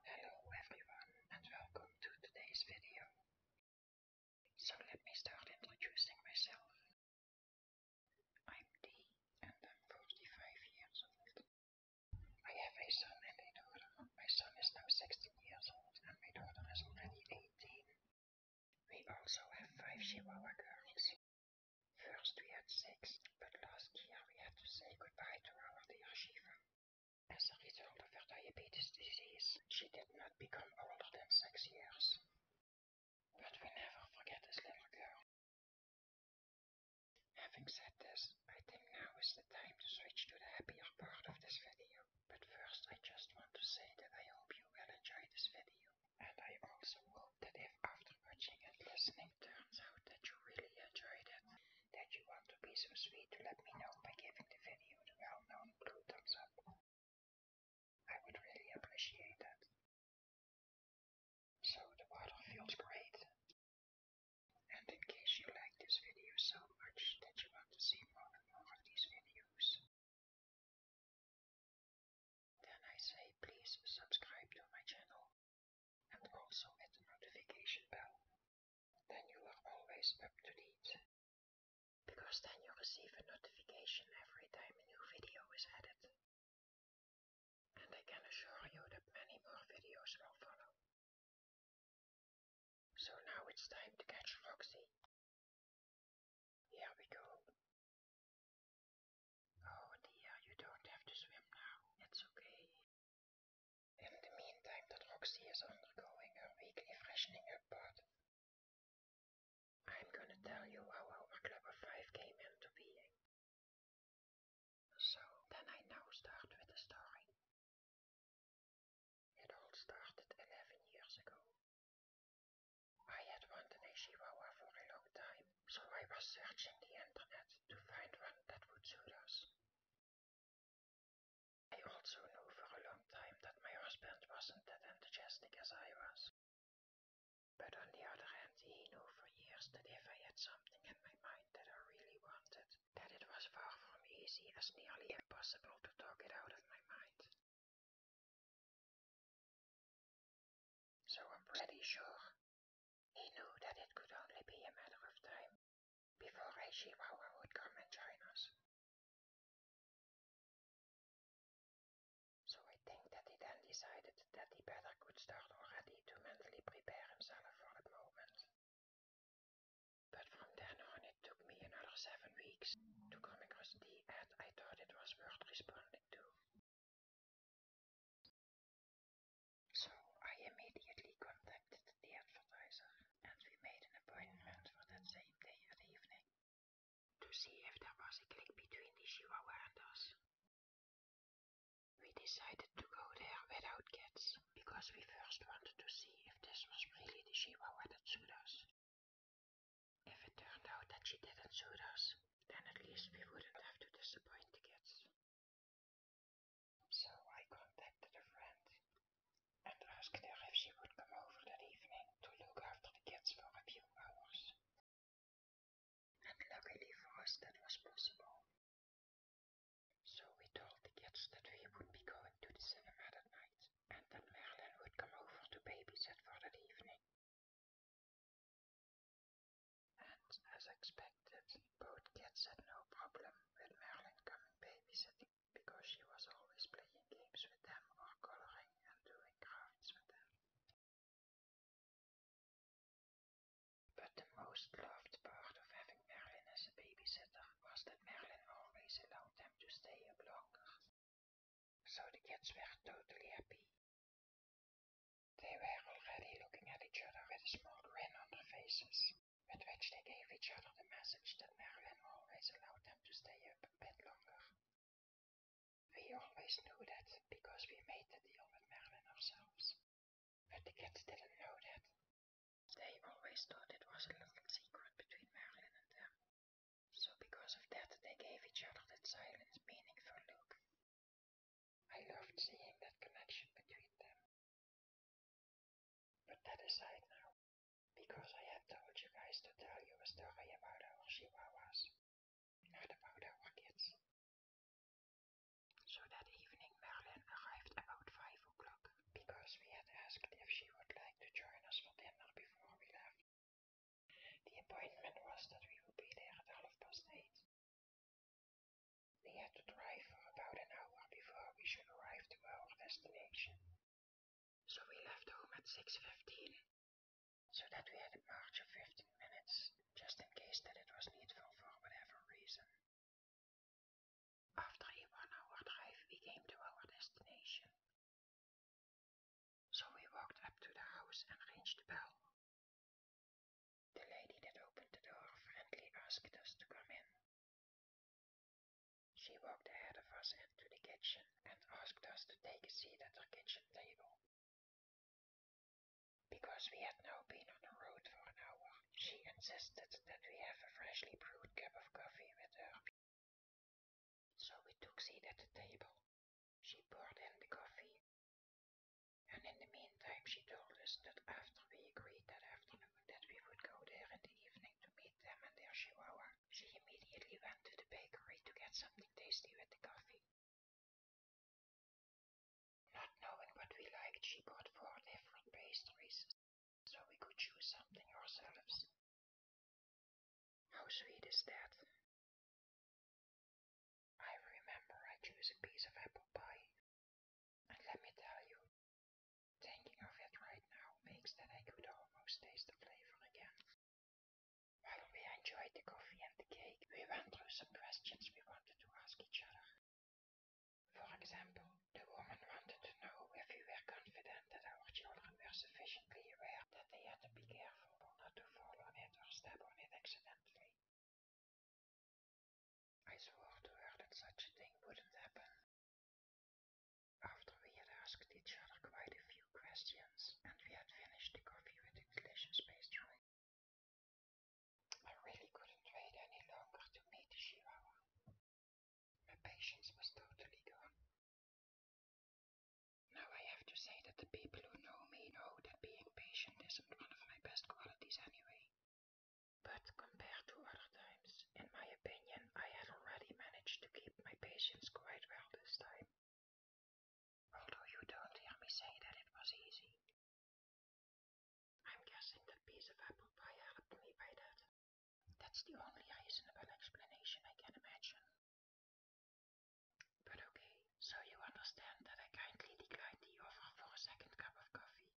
Hello everyone and welcome to today's video. So let me start introducing myself. I'm Dee and I'm 45 years old. I have a son and a daughter. My son is now 16 years old and my daughter is already 18. We also have five Chihuahua girls. First we had six, but last year we had to say goodbye to our dear Shiva. As a result of her diabetes disease, she did not become older than six years. But we never forget this little girl. Having said this, I think now is the time to switch to the happier part of this video. But first I just want to say that I hope you will enjoy this video. And I also hope that if after watching and listening turns out that you really enjoyed it, that you want to be so sweet to let me know by giving the video the well-known blue thumbs up. I would really appreciate that. So the bottle feels great. And in case you like this video so much that you want to see more and more of these videos, then I say please subscribe to my channel and also hit the notification bell. Then you are always up to date. Because then you receive a notification every time a new video is added. And I can assure you that many more videos will follow. So now it's time to catch Foxy. Here we go. Oh dear, you don't have to swim now. It's okay. In the meantime, that Roxy is undergoing her weekly freshening up I'm gonna tell you how our Club of Five came into being. So, then I now start with the story. It all started 11 years ago I had wanted a Chihuahua for a long time, so I was searching the internet to find one that would suit us. I also knew for a long time that my husband wasn't that enthusiastic as I was. But on the other hand, he knew for years that if I had something in my mind that I really wanted, that it was far from easy as nearly impossible to talk it out of my mind. So I'm pretty sure he knew that it could only be a matter of time before a Chihuahua would come and join us. So I think that he then decided that he better could start already to mentally prepare himself for that moment. But from then on it took me another seven weeks to come across the ad I thought it was worth responding to. So I immediately contacted the advertiser and we made an appointment for that same day at evening to see if there was a click between the Chihuahua and us. We decided to go there without cats because we first wanted to see if this was really the Chihuahua that suited us. If it turned out that she didn't shoot us, then at least we wouldn't have to disappoint the kids. So I contacted a friend and asked her if she would come over that evening to look after the kids for a few hours. And luckily for us that was possible. So we told the kids that we would be going to the cinema that night and that Marilyn would come over to babysit for that evening. And as expected, both kids had no problem with Marilyn coming babysitting because she was always playing games with them or coloring and doing crafts with them. But the most loved part of having Marilyn as a babysitter was that Marilyn always allowed them to stay up longer so the kids were totally happy. They were already looking at each other with a small grin on their faces, with which they gave each other the message that Marilyn always allowed them to stay up a bit longer. We always knew that because we made the deal with Marilyn ourselves, but the kids didn't know that. They always thought it was a little secret between Marilyn and them. So because of that, they gave each other that silent, meaningful look. I loved seeing that connection between them. But that aside now, because I had told you guys to tell you a story about our chihuahuas, not about our kids. So that evening Merlin arrived about five o'clock because we had asked if she would like to join us for dinner before we left. The appointment was that we would be there at half past eight. We had to drive for about an hour before we should arrive to our destination. So we left home at 6.15, so that we had a march of 15 minutes, just in case that it was needful for whatever reason. After a one hour drive, we came to our destination. So we walked up to the house and rang the bell. The lady that opened the door friendly asked us to come in. She walked ahead of us into the kitchen and asked us to take a seat at the kitchen table. Because we had now been on the road for an hour, she insisted that we have a freshly brewed cup of coffee with her, so we took seat at the table. She poured in the coffee, and in the meantime she told us that after we agreed that afternoon that we would go there in the evening to meet them and their chihuahua, she immediately went to the bakery to get something tasty with the coffee. Not knowing what we liked, she bought four different pastries, so we could choose something ourselves. How sweet is that? I remember I chose a piece of apple pie, and let me tell you, thinking of it right now makes that I could almost taste the flavor again. While we enjoyed the coffee and the cake, we went through some questions we wanted to ask each other. For example, the woman wanted to know if we were confident that our children were sufficiently aware that they had to be careful not to fall on it or step on it accidentally. I swore to her that such a thing wouldn't happen. After we had asked each other quite a few questions, and we had finished the coffee with delicious pastry, I really couldn't wait any longer to meet the Chihuahua. My patience was totally gone. Now I have to say that the people who know me know that being patient isn't one of my best qualities anyway. But compared to other times, in my opinion, I had already managed to keep my patience quite well this time. Although you don't hear me say that it was easy, I'm guessing that piece of apple pie helped me by that. That's the only reasonable explanation I can imagine. But okay, so you understand that I kindly declined the offer for a second cup of coffee,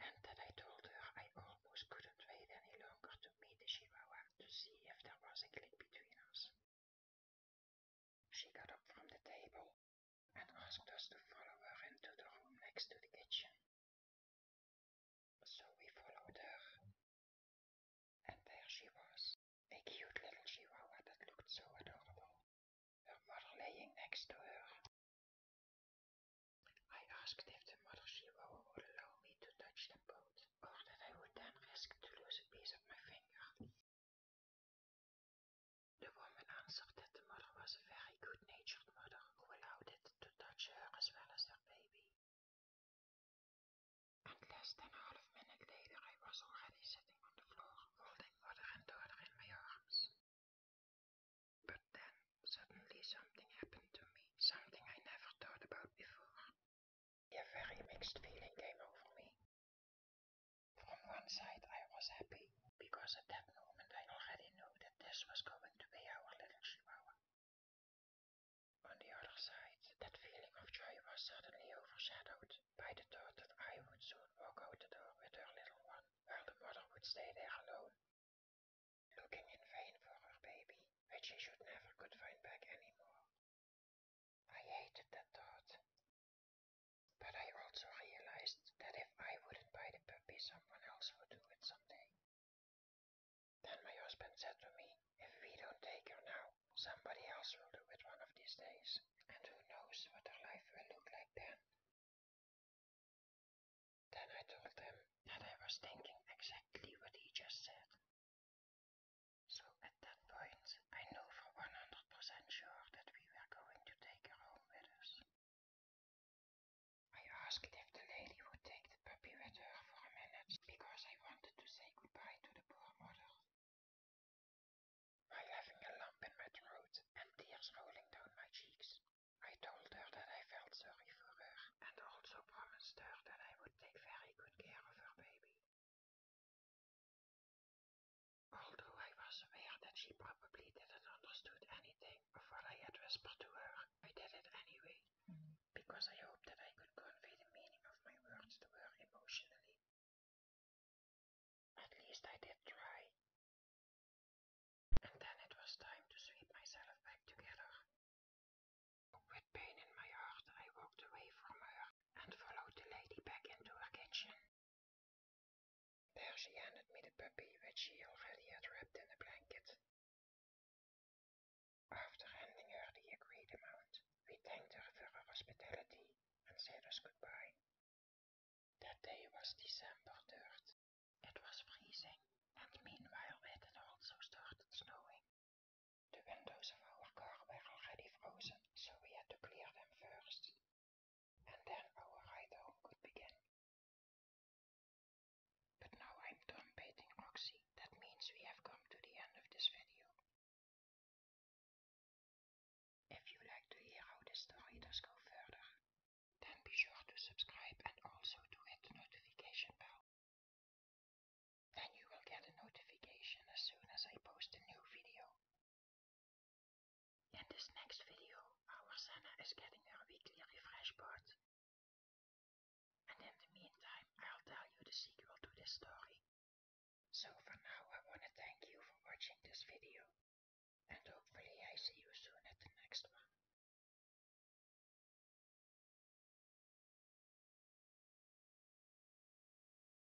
and that I told her I almost couldn't wait any longer to meet the Chihuahua to see if there was a click between us. She got up from the table and asked us to follow her into the room next to the kitchen. So we followed her, and there she was, a cute little chihuahua that looked so adorable, her mother laying next to her. I asked if the mother chihuahua would allow me to touch the both, or that I would then risk to lose a piece of my finger. The woman answered that the mother was a very good-natured mother who allowed it to touch her as well as her baby. And less than a half minute later I was already sitting on the floor, holding mother and daughter in my arms. But then, suddenly something happened to me, something I never thought about before. A very mixed feeling came over me. From one side I was happy, because at that moment I already knew that this was going to be our little chihuahua. On the other side, that feeling of joy was suddenly overshadowed by the thought that I would soon walk out the door with her little one, while the mother would stay there alone, looking in vain for her baby, which she should never could find back anymore. I hated that thought, but I also realized that if I wouldn't buy the puppy, someone else would do it someday. Then my husband said to me, If we don't take her now, somebody else will do it one of these days, and who knows what her life will look like then. Then I told him that I was thinking exactly what he just said. So at that point, I know for 100% sure that we we were going to take her home with us. I asked if the lady would take the puppy with her for a minute, because I wanted to say goodbye to the poor mother. By having a lump in my throat and tears rolling down my cheeks, I told her that I felt sorry for her and also promised her that I would take very good care of her baby. Although I was aware that she probably didn't understand anything of what I had whispered to her, I did it anyway, mm-hmm. because I hoped that I could convey the meaning of my words to her emotionally. At least I did try. And then it was time to sweep myself back together. With pain in my heart, I walked away from her and followed the lady back into her kitchen. There she handed me the puppy which she already had wrapped in a blanket. After handing her the agreed amount, we thanked her for her hospitality and said us goodbye. That day was December 3rd. It was freezing, and meanwhile it had also started snowing. The windows of our car were already frozen, so we had to clear them first and then our ride home could begin. But now I'm done baiting Roxy, that means we have come to the end of this video. If you like to hear how the story does go further, then be sure to subscribe and also to hit notification bell. Then you will get a notification as soon as I post a new video. In this next video, our Senna is getting her weekly refresh board. And in the meantime, I'll tell you the sequel to this story. So for now, I want to thank you for watching this video. And hopefully I see you soon at the next one.